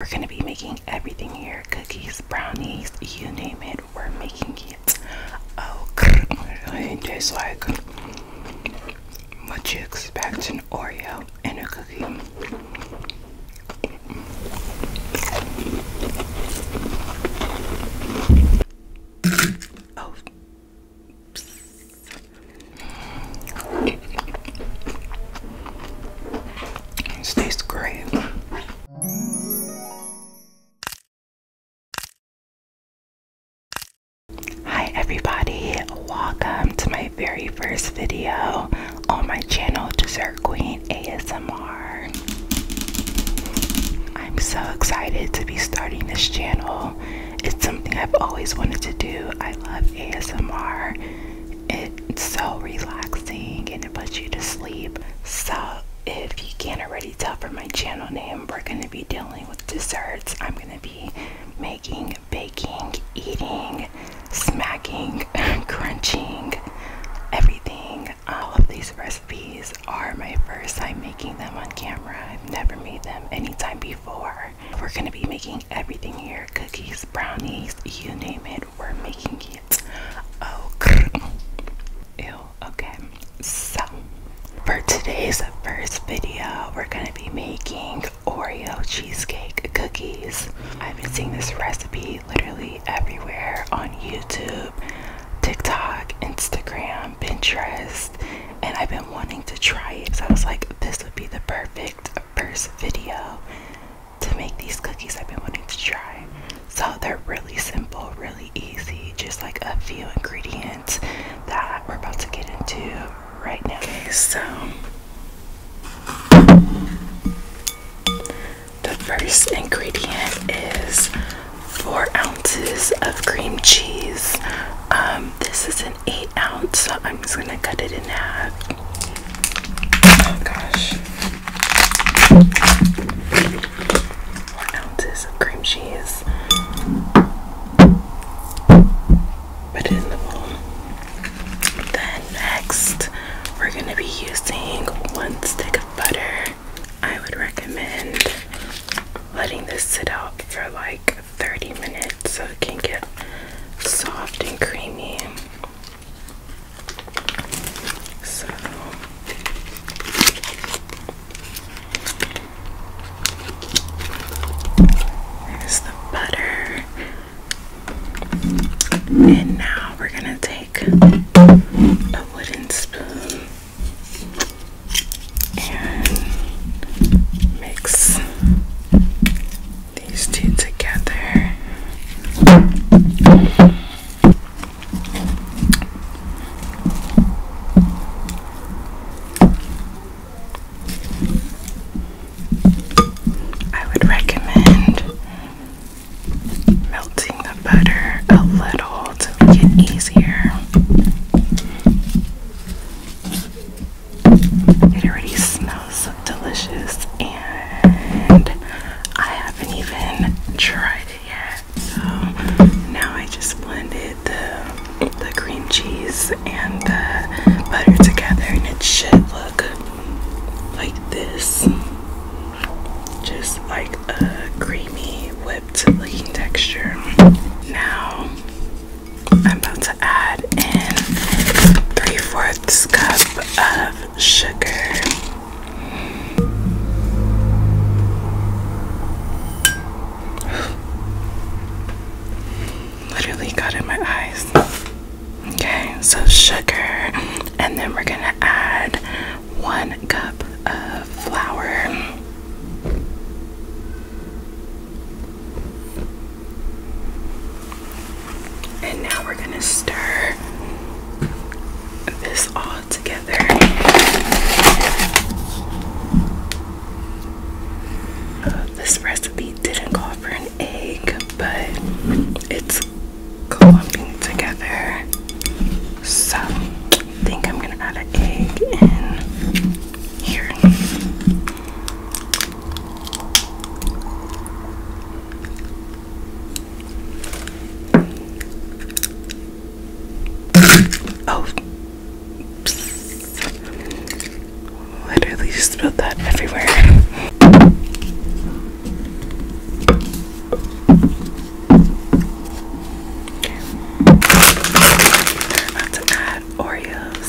We're going to be making everything here cookies, brownies, you name it, we're making it. Oh, it tastes like what you expect an Oreo and a cookie. Oh. It tastes great. Hi everybody, welcome to my very first video on my channel Dessert Queen ASMR. I'm so excited to be starting this channel. It's something I've always wanted to do. I love ASMR it's so relaxing and it puts you to sleep. So, if you can't already tell from my channel name, we're going to be dealing with desserts. I'm going to be making, baking, eating, smacking, crunching, everything. All of these recipes are my first time making them on camera. I've never made them any time before. We're going to be making everything here cookies, brownies, you name it. We're making it. Okay, so for today's first video, we're gonna be making Oreo cheesecake cookies. I've been seeing this recipe literally everywhere on YouTube, TikTok, Instagram, Pinterest, and I've been wanting to try it. So I was like, this would be the perfect first video to make these cookies I've been wanting to try. So they're really simple, really easy, just like a few ingredients that we're about to get into right now. Okay, so the first ingredient is four ounces of cream cheese. Um, this is an eight ounce, I'm just gonna cut it in half. Oh gosh. Four ounces of cream cheese. Put it in the bowl. Then next, we're gonna be using one stick of butter. I would recommend letting this sit out for like 30 minutes so it can get soft and creamy. So there's the butter. And now we're gonna take a wooden spoon and mix these two together. I would recommend melting the butter a little to make it easier. It already smells delicious and I haven't even tried it yet. So now I just blended the, the cream cheese and the butter together and it should look like this. Just like a creamy whipped looking texture. Now I'm about to add in three-fourths cup of sugar. Literally got in my eyes. Okay, so sugar, and then we're gonna add one cup of flour. And now we're gonna stir this all together. this recipe didn't call for an egg, but it's clumping together. So I think I'm gonna add an egg in here. Oh. Literally just spilled that everywhere. I'm about to add Oreos.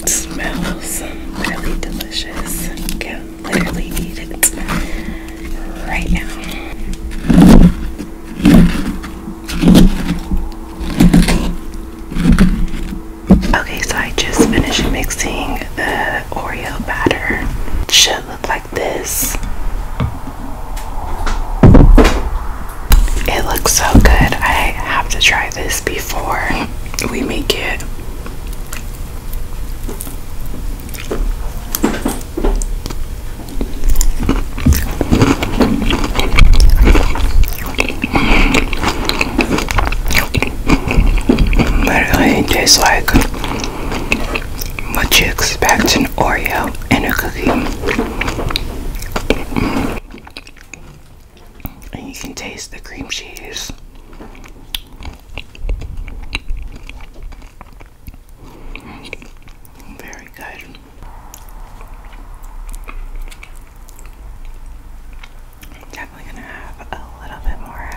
It smells really delicious. Can literally eat it right now. Okay, so I just finished mixing the Oreo batter. Should look like this. It looks so good. I have to try this before we make it. Literally tastes like what you expect in Oreo. And a cookie. And you can taste the cream cheese. Very good. definitely gonna have a little bit more.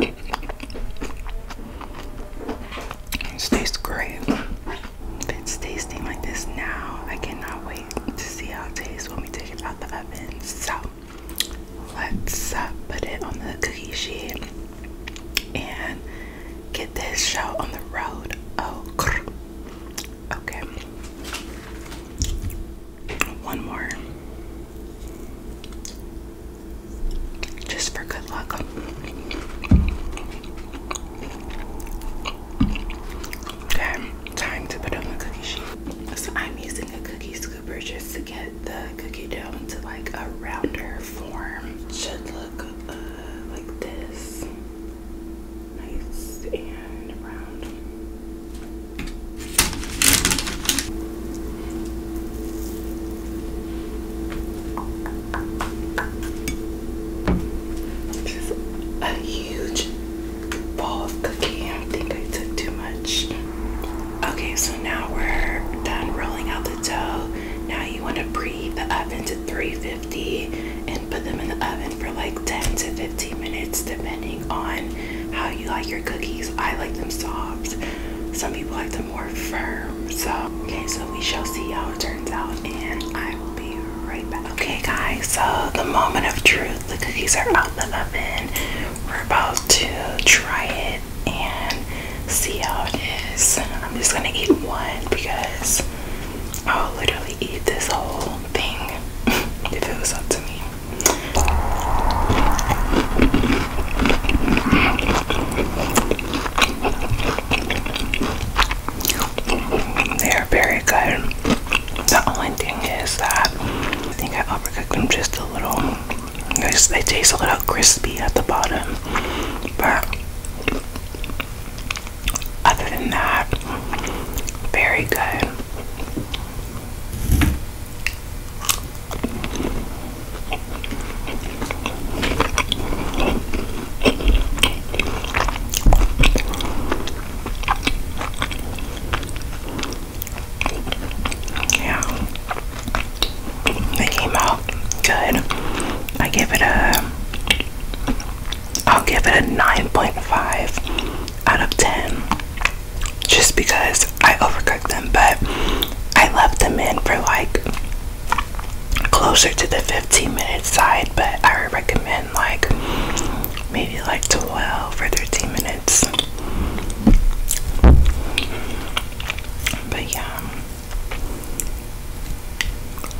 It tastes great. If it's tasting like this now, I cannot wait to see how it tastes when we take it out the oven. So let's uh, put it on the cookie sheet and get this show on the road. Oh, okay. One more. Just for good luck. Okay, time to put on the cookie sheet. So I'm using a cookie scooper just to get the cookie dough into like a rounder form. Should look uh, like this nice and round. This is a huge bowl of cookie. I think I took too much. Okay, so now we're done rolling out the dough. Now you want to preheat the oven to 350 and put them in the oven for like 10 to 15 minutes depending on how you like your cookies. I like them soft. Some people like them more firm. So, okay, so we shall see how it turns out and I will be right back. Okay guys, so the moment of truth. The cookies are out the oven. We're about to try it and see how it is. I'm just gonna eat one because I will literally eat this whole thing if it was up to me. They are very good. The only thing is that I think I overcooked them just a little. They, they taste a little crispy at the bottom, but other than that, very good. Yeah, they came good. I give it a I'll give it a 9.5 out of 10 just because I overcooked them, but I left them in for like closer to the 15 minutes side, but I would recommend like maybe like 12 for 13 minutes. But yeah.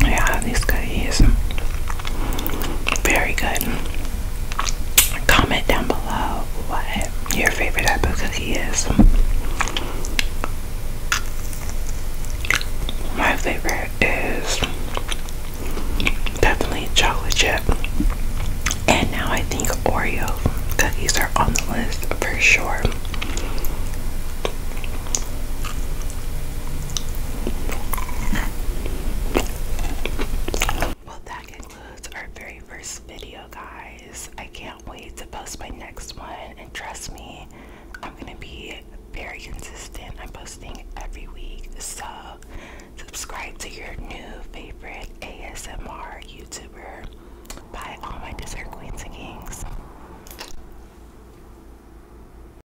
Yeah, this cookie is very good. Comment down below what your favorite apple cookie is. My favorite is definitely chocolate chip. And now I think Oreo cookies are on the list for sure. Well, that concludes our very first video, guys. I can't wait to post my next one, and trust me, I'm gonna be very consistent. I'm posting every week, so subscribe to your new favorite ASMR YouTuber by all my dessert queens and kings.